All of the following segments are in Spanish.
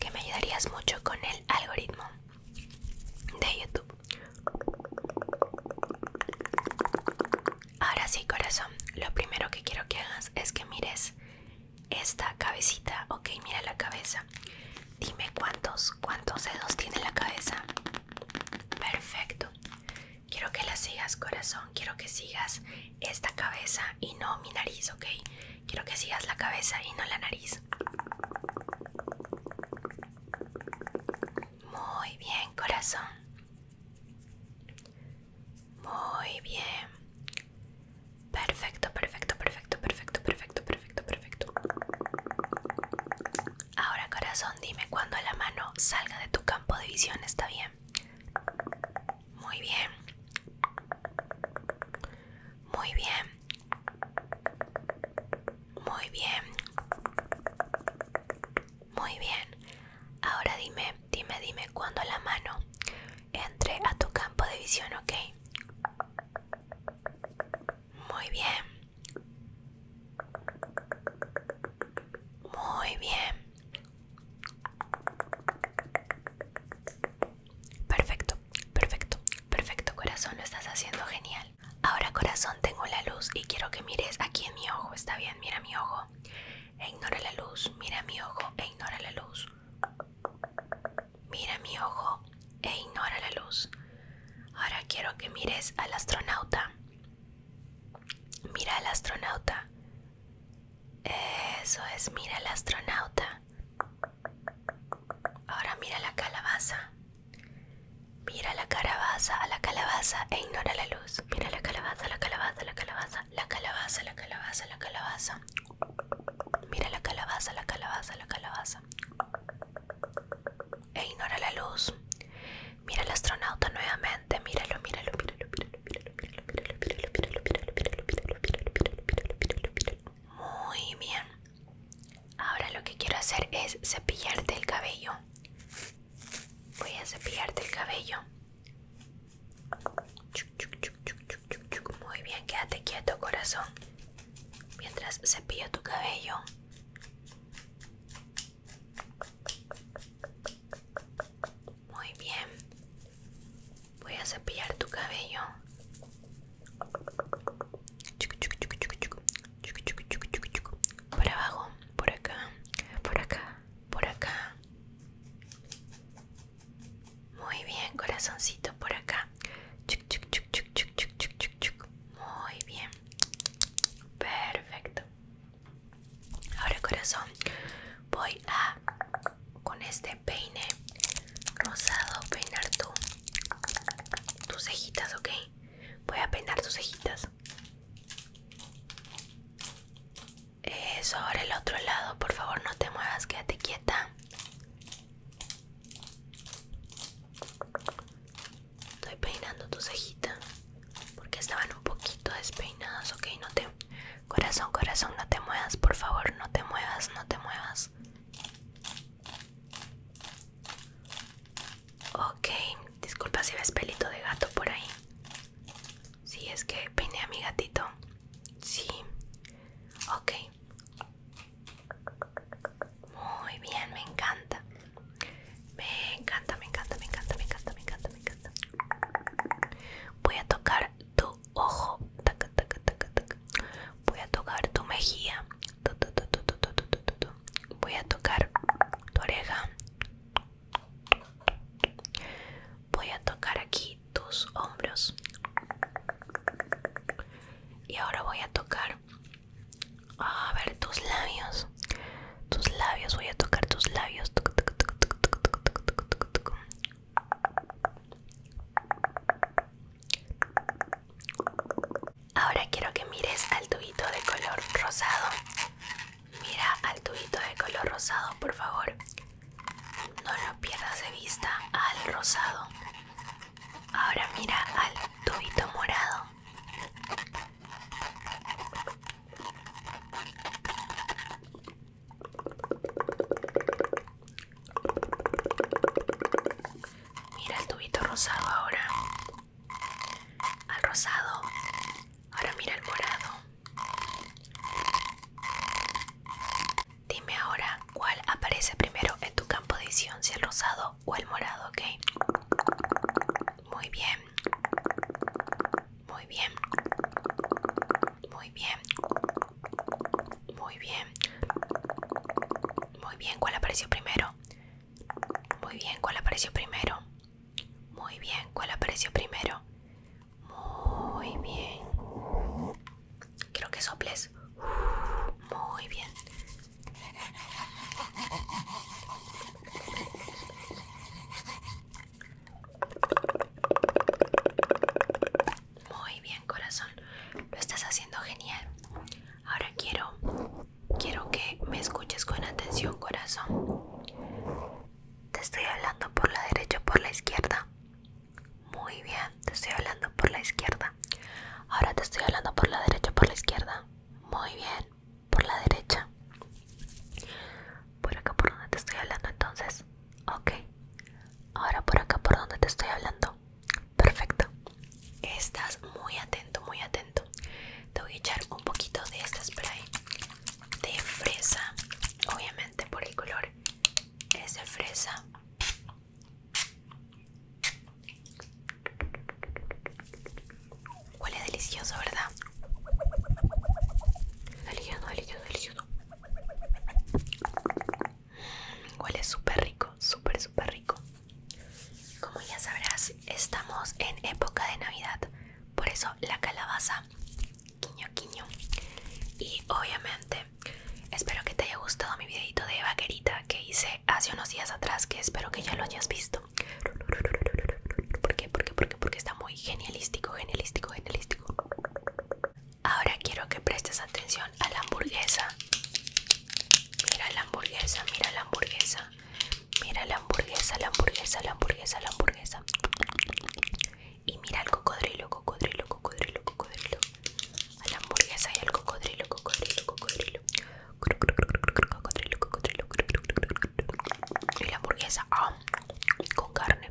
que me ayudarías mucho con el algoritmo de YouTube. Ahora sí, corazón, lo primero que quiero que hagas es que mires esta cabecita. Ok, mira la cabeza. Dime cuántos, cuántos dedos tiene la cabeza. Perfecto. Quiero que la sigas, corazón. Quiero que sigas esta cabeza y no mi nariz, ¿ok? Quiero que sigas la cabeza y no la nariz. Muy bien, corazón. Muy bien. Perfecto, perfecto, perfecto, perfecto, perfecto, perfecto, perfecto. Ahora, corazón, dime cuando la mano salga de tu campo de visión, ¿está bien? Muy bien. Muy bien. Muy bien. Muy bien. Ahora dime, dime, dime cuando la mano entre a tu campo de visión, ¿ok? Muy bien. Muy bien. Perfecto, perfecto, perfecto corazón, lo estás haciendo genial. Ahora corazón, tengo la luz y quiero que mires aquí en mi ojo, está bien, mira mi ojo. E ignora la luz, mira mi ojo e ignora la luz. Mira mi ojo e ignora la luz. Ahora quiero que mires al astronauta. Mira al astronauta. Eso es, mira el astronauta. Ahora mira la calabaza. Mira la calabaza, a la calabaza e ignora la luz. Mira la calabaza, la calabaza, la calabaza, la calabaza, la calabaza, la calabaza. Mira la calabaza, la calabaza, la calabaza. E ignora la luz. Mira el astronauta nuevamente. Míralo, míralo, míralo, míralo. Muy bien. Ahora lo que quiero hacer es cepillarte el cabello. Voy a cepillarte el cabello. Muy bien, quédate quieto, corazón. Mientras cepillo tu cabello. Muy bien. Voy a cepillar tu cabello. Chiqui chiqui chiqui chiqui chiqui. Chiqui chiqui chiqui chiqui chiqui. Por abajo, por acá, por acá, por acá. Muy bien, corazoncito, por acá. Chiqui chiqui chiqui chiqui chiqui chiqui chiqui chiqui. Muy bien. Perfecto. Ahora, corazón, voy a con este peine rosado peinar tú tus cejitas, ¿ok? Voy a peinar tus cejitas. Sobre el otro lado, por favor, no te muevas, quédate quieta. Estoy peinando tu cejita porque estaban un poquito despeinadas, ok, no te Corazón, corazón, no te muevas, por favor, no te muevas, no te muevas. Ok, disculpa si ves pelito de gato por ahí. Sí, es que peiné a mi gatito. Sí. Ok. Muy bien, me encanta. Me encanta, me encanta, me encanta, me encanta, me encanta, me encanta. Voy a tocar tu ojo. Voy a tocar tu mejilla. Voy a tocar tu oreja. Voy a tocar aquí tus hombros. Y ahora voy a tocar, a ver, tus labios. Tus labios, voy a tocar tus labios. Ahora quiero que mires al tubito de color rosado. Mira al tubito de color rosado, por favor. No lo pierdas de vista al rosado. Ahora mira al tubito morado. Mira el tubito rosado ahora. Al rosado. Ahora mira el morado. Dime ahora cuál aparece primero en tu campo de edición si el rosado o el morado, ¿ok? Muy bien. Muy bien. Muy bien. Muy bien. Muy bien. ¿Cuál apareció primero? Muy bien. ¿Cuál apareció primero? Muy bien. ¿Cuál apareció primero? Muy bien. creo que soples. Muy bien. Muy bien, corazón. Lo estás haciendo genial. Ahora quiero quiero que me escuches con atención, corazón. Te estoy hablando por la derecha, o por la izquierda. Muy bien, te estoy hablando por la izquierda. Ahora te estoy hablando por la derecha, o por la izquierda. Muy bien, por la derecha. Por acá por donde te estoy hablando entonces. Ok, ahora por acá por donde te estoy hablando. Perfecto. Estás muy atento, muy atento. Te voy a echar un poquito de este spray de fresa. Obviamente por el color es de fresa. Huele delicioso, ¿verdad? Delicioso, delicioso, delicioso. Huele súper rico, súper, súper rico. Como ya sabrás, estamos en época de Navidad. Por eso la calabaza, quiño, quiño. Y obviamente, espero que te haya gustado mi videito de vaquerita que hice hace unos días atrás, que espero que ya lo hayas visto. ¿Por qué? ¿Por qué? ¿Por qué? Porque está muy genialístico, genialístico, genialístico. Ahora quiero que prestes atención a la hamburguesa. Mira la hamburguesa, mira la hamburguesa. Mira la hamburguesa, la hamburguesa, la hamburguesa, la hamburguesa. Y mira al cocodrilo, cocodrilo, cocodrilo, cocodrilo. A la hamburguesa y al cocodrilo, cocodrilo, cocodrilo. Cocodrilo, cocodrilo. Y la hamburguesa ah, con carne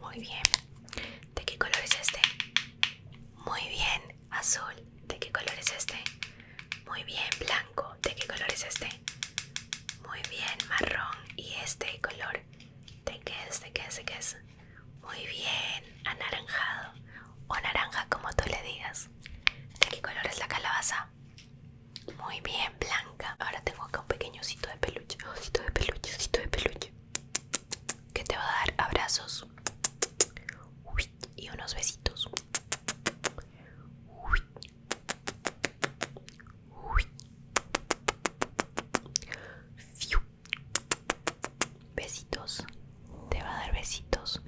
muy bien. ¿De qué color es este? Muy bien. Azul. ¿De qué color es este? Muy bien. Blanco. ¿De qué color es este? Muy bien. Marrón. ¿Y este color? de quedes, es de te es Muy bien, anaranjado o naranja como tú le digas. ¿De qué color es la calabaza? Muy bien, blanca. Ahora tengo acá un pequeño de peluche. Osito de peluche, osito de peluche. Que te va a dar abrazos. Uy, y unos besitos. Uy. Fiu. Besitos. Te va a dar besitos.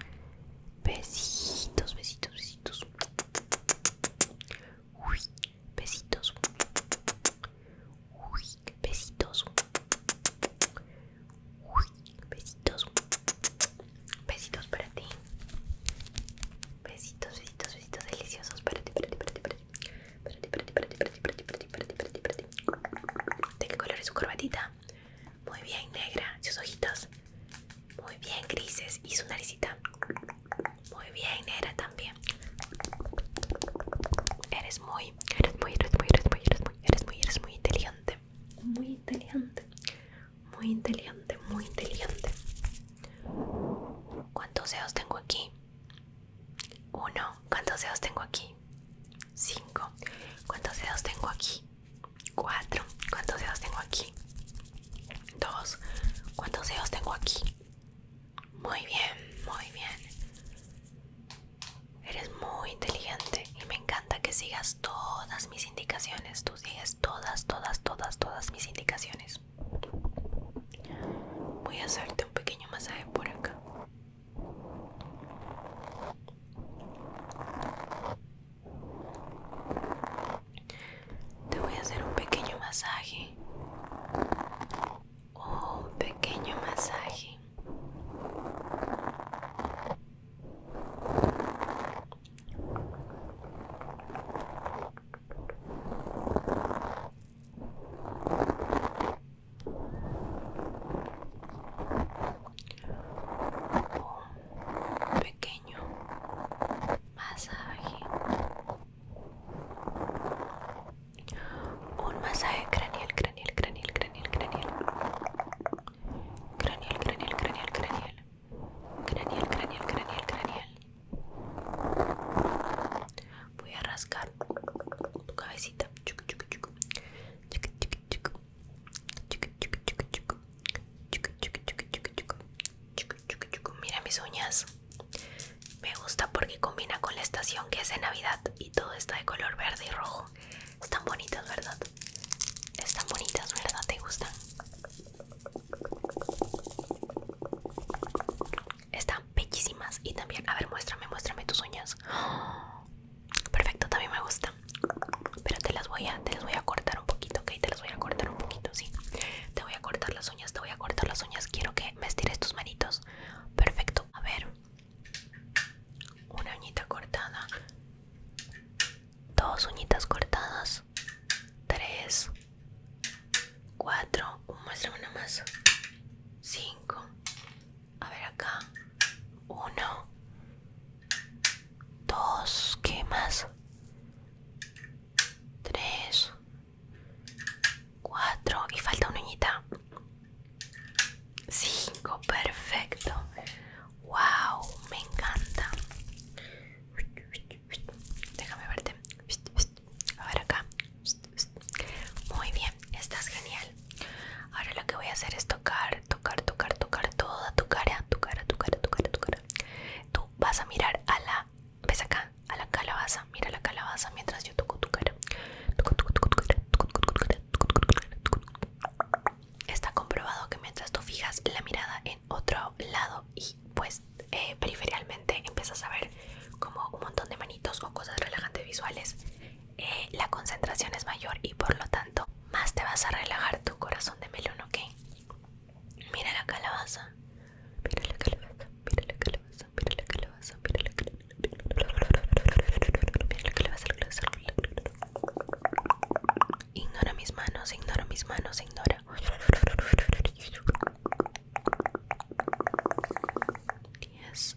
Besitos, besitos, besitos. Uy, besitos. Uy, besitos. Uy, besitos. Besitos para ti. Besitos, besitos, besitos deliciosos para ti, para ti, para ti, para ti. ¿De qué color es su corbatita? Muy bien, negra. Sus ojitos. Muy bien, grises. Y su naricita. Muy bien, negra también. Eres muy, eres muy, eres muy, eres muy, eres muy, eres muy, eres muy inteligente. Muy inteligente. Muy inteligente, muy inteligente. ¿Cuántos dedos tengo aquí? 1. ¿Cuántos dedos tengo aquí? 5. ¿Cuántos dedos tengo aquí? 4. ¿Cuántos dedos tengo aquí? 2. ¿Cuántos dedos tengo aquí? Muy bien, muy bien. Eres muy inteligente y me encanta que sigas todas mis indicaciones. Tú sigues todas, todas, todas, todas mis indicaciones. Voy a hacerte un pequeño masaje por acá. Te voy a hacer un pequeño masaje. Oh, un pequeño masaje un pequeño masaje un masaje craneal craneal craneal cranial cranial cranial cranial craneal cranial cranial cranial cranial cranial voy a rascar tu cabecita Mira mis uñas. Me gusta porque combina con la estación que es de Navidad y todo está de color verde y rojo. Están bonitas, ¿verdad? Están bonitas, ¿verdad? ¿Te gustan? Están bellísimas. Y también, a ver, muéstrame, muéstrame tus uñas. perfecto, también me gusta. Pero te las voy a, te las voy a cortar un poquito, ok, te las voy a cortar un poquito, sí. Te voy a cortar las uñas, te voy a cortar las uñas. Quiero que me estires tus manitos. Perfecto. A ver. Una uñita cortada. Dos uñitas cortadas. Tres. Cuatro. Muéstrame una más. Cinco. A ver acá. 1 2 ¿Qué más? 3 4 Y falta una ñita. 5 Perfecto. Wow, me encanta. Déjame verte. A ver acá. Muy bien, estás genial. Ahora lo que voy a hacer es tocar, tocar, tocar, tocar toda tu cara, tu cara, tu cara, tu cara, tu cara. Tú vas a mirar a la, ves acá, a la calabaza, mira la calabaza mientras yo toco tu cara. Está comprobado que mientras tú fijas la mirada en otro lado y pues eh, periferialmente empiezas a ver como un montón de manitos o cosas relajantes visuales eh, la concentración es mayor y por lo tanto más te vas a relajar tu corazón de melón, ¿ok? Mira la calabaza, mira la calabaza, mira la calabaza, mira la calabaza, mira la calabaza, mira la calabaza, Ignora mis manos, ignora mis manos, ignora. Yes,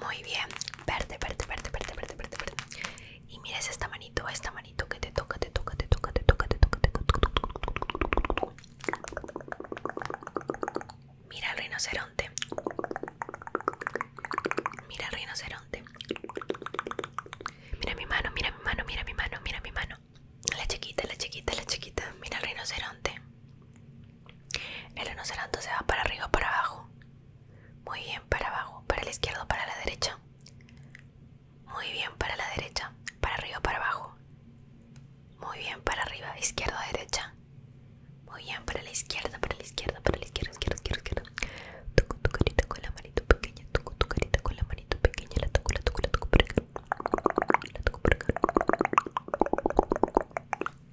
Muy bien. Verde, verde, verde, verde, verde, verde, verde. Y mires esta manito, esta manito que te toca, te toca, te toca, te toca, te toca, te toca. Mira el rinoceronte. Mira el rinoceronte. Mira mi mano, mira mi mano, mira mi mano, mira mi mano. La chiquita, la chiquita, la chiquita. Mira el rinoceronte. El rinoceronte se va para arriba o para abajo. Muy bien, para abajo. Para la izquierda para la derecha. Muy bien, para la derecha. Para arriba o para abajo. Muy bien, para arriba. Izquierda o derecha. Muy bien, para la izquierda, para la izquierda, para la izquierda, izquierda, Toco tu carita con la manito pequeña. Toco tu carita con la manito pequeña. La toco, la toco, la toco La toco por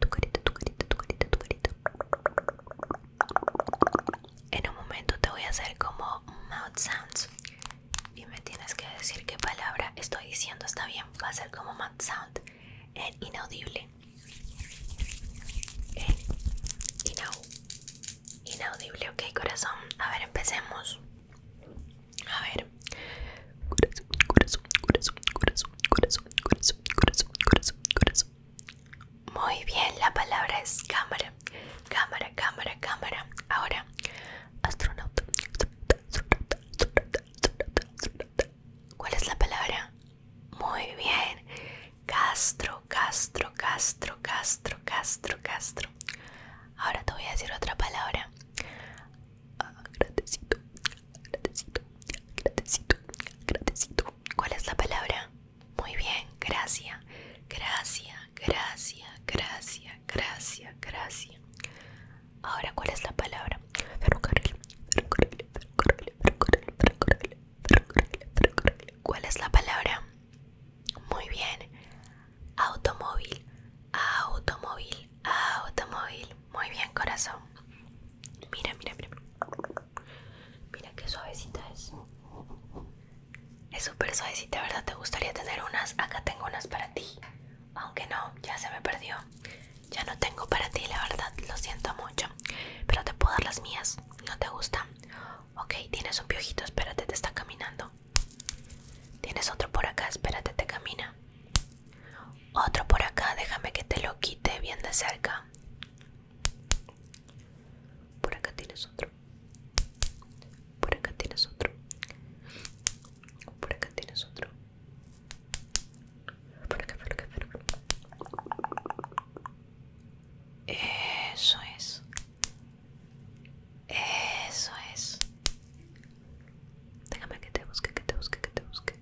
tu carita, tu carita, tu carita, tu carita. En un momento te voy a hacer como mouth sounds y me tienes que decir qué palabra estoy diciendo, está bien, va a ser como mouth sound en inaudible. En inaudible, ok corazón. A ver, empecemos. A ver. Corazón, corazón, corazón, corazón, corazón, corazón, corazón, corazón, Muy bien, la palabra es cámara. Cámara, cámara, cámara. Ahora, astronauta. ¿Cuál es la palabra? Muy bien. Castro, Castro, Castro, Castro, Castro, Castro. Ahora te voy a decir otra palabra. Ah, grandecito ¿Cuál es la palabra? Muy bien, gracias, gracias, gracias, gracias, gracias, gracias. Ahora, ¿cuál es la palabra? Ferrocarril, ferrocarril, ferrocarril, ferrocarril, ferrocarril, ferrocarril, ferrocarril. ¿Cuál es la palabra? Muy bien. Automóvil, automóvil, Ah, automóvil. Muy bien, corazón. Mira, mira, mira. Mira qué suavecita es. Es súper suavecita, ¿verdad? ¿Te gustaría tener unas? Acá tengo unas para ti. Aunque no, ya se me perdió. Ya no tengo para ti, la verdad. Lo siento mucho. Pero te puedo dar las mías. ¿No te gusta? Ok, tienes un piojito. Espérate, te está caminando. Tienes otro por acá. Espérate, te camina. Otro por acá, déjame que te lo quite bien de cerca. Por acá tienes otro. Por acá tienes otro. Por acá tienes otro. Por acá, por acá, Eso es. Eso es. Déjame que te busque, que te busque, que te busque.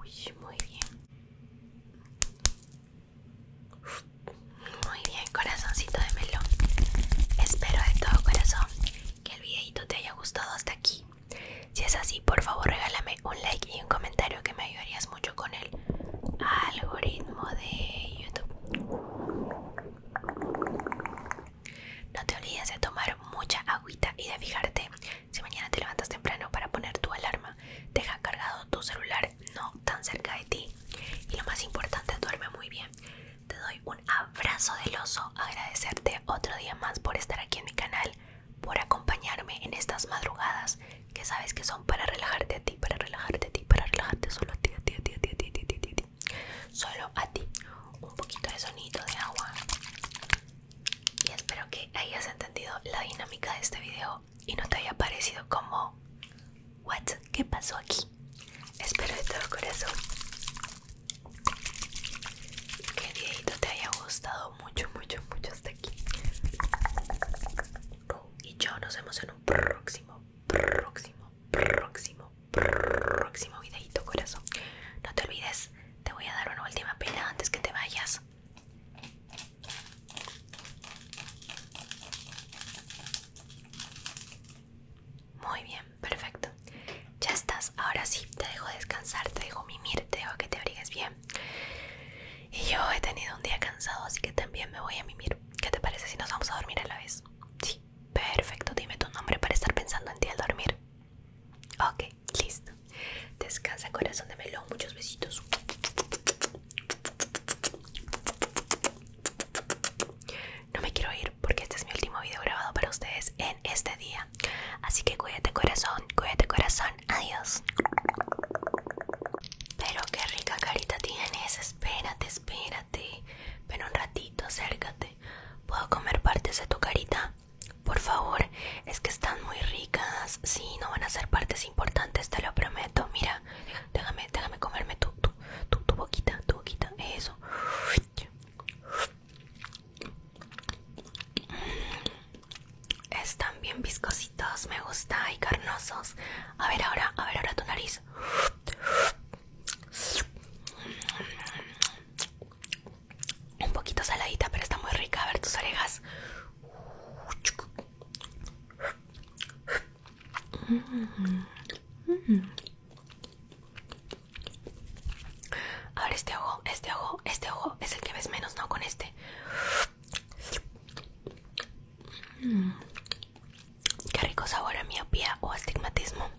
Uy, muy bien. Muy bien, corazoncito de melón. Espero de todo corazón que el videito te haya gustado hasta aquí. Si es así, por favor regálame un like y un comentario que me ayudarías mucho con el algoritmo de YouTube. No te olvides de tomar mucha agüita y de fijarte si mañana te levantas temprano para poner tu alarma, deja cargado tu celular no tan cerca de ti. Y lo más importante, duerme muy bien. Te doy un abrazo del oso, agradecerte otro día más por estar aquí en mi canal, por acompañarme en estas madrugadas que sabes que son para relajarte a ti, para relajarte a ti, para relajarte solo a ti, a ti, a ti, a ti, a ti, a ti, a a solo a ti. Un poquito de sonido de agua. Y espero que hayas entendido la dinámica de este video y no te haya parecido como What? ¿Qué pasó aquí? Espero de todo corazón que el videito te haya gustado mucho, mucho, mucho hasta aquí. Y yo nos vemos en un próximo, próximo, próximo, próximo videito corazón. No te olvides te voy a dar una última pila antes que te vayas. Muy bien, perfecto. Ya estás. Ahora sí, te dejo descansar, te dejo mimir, te dejo que te abrigues bien. Y yo he tenido un día cansado, así que también me voy a mimir. ¿Qué te parece si nos vamos a dormir a la vez? Sí, perfecto. Dime tu nombre para estar pensando en ti al dormir. Ok, listo. Descansa, corazón de melón. Muchos besitos. No me quiero ir porque este es mi último video grabado para ustedes en este día. Así que cuídate, corazón. Cuídate, corazón. Adiós. Pero qué rica carita tienes. Espérate, espérate. Pero un ratito, acércate. ¿Puedo comer partes de tu carita? Por favor, es que están muy ricas. Sí, no van a ser partes importantes, te lo prometo. Mira, déjame, déjame comerme tu, tu, tú, boquita, tu boquita. Eso. Mm, están bien viscositos, me gusta, y carnosos. A ver ahora, a ver ahora tu nariz un poquito saladita, pero está muy rica. A ver tus orejas. ver este ojo, este ojo, este ojo es el que ves menos, ¿no? Con este. Qué rico sabor a miopía o astigmatismo.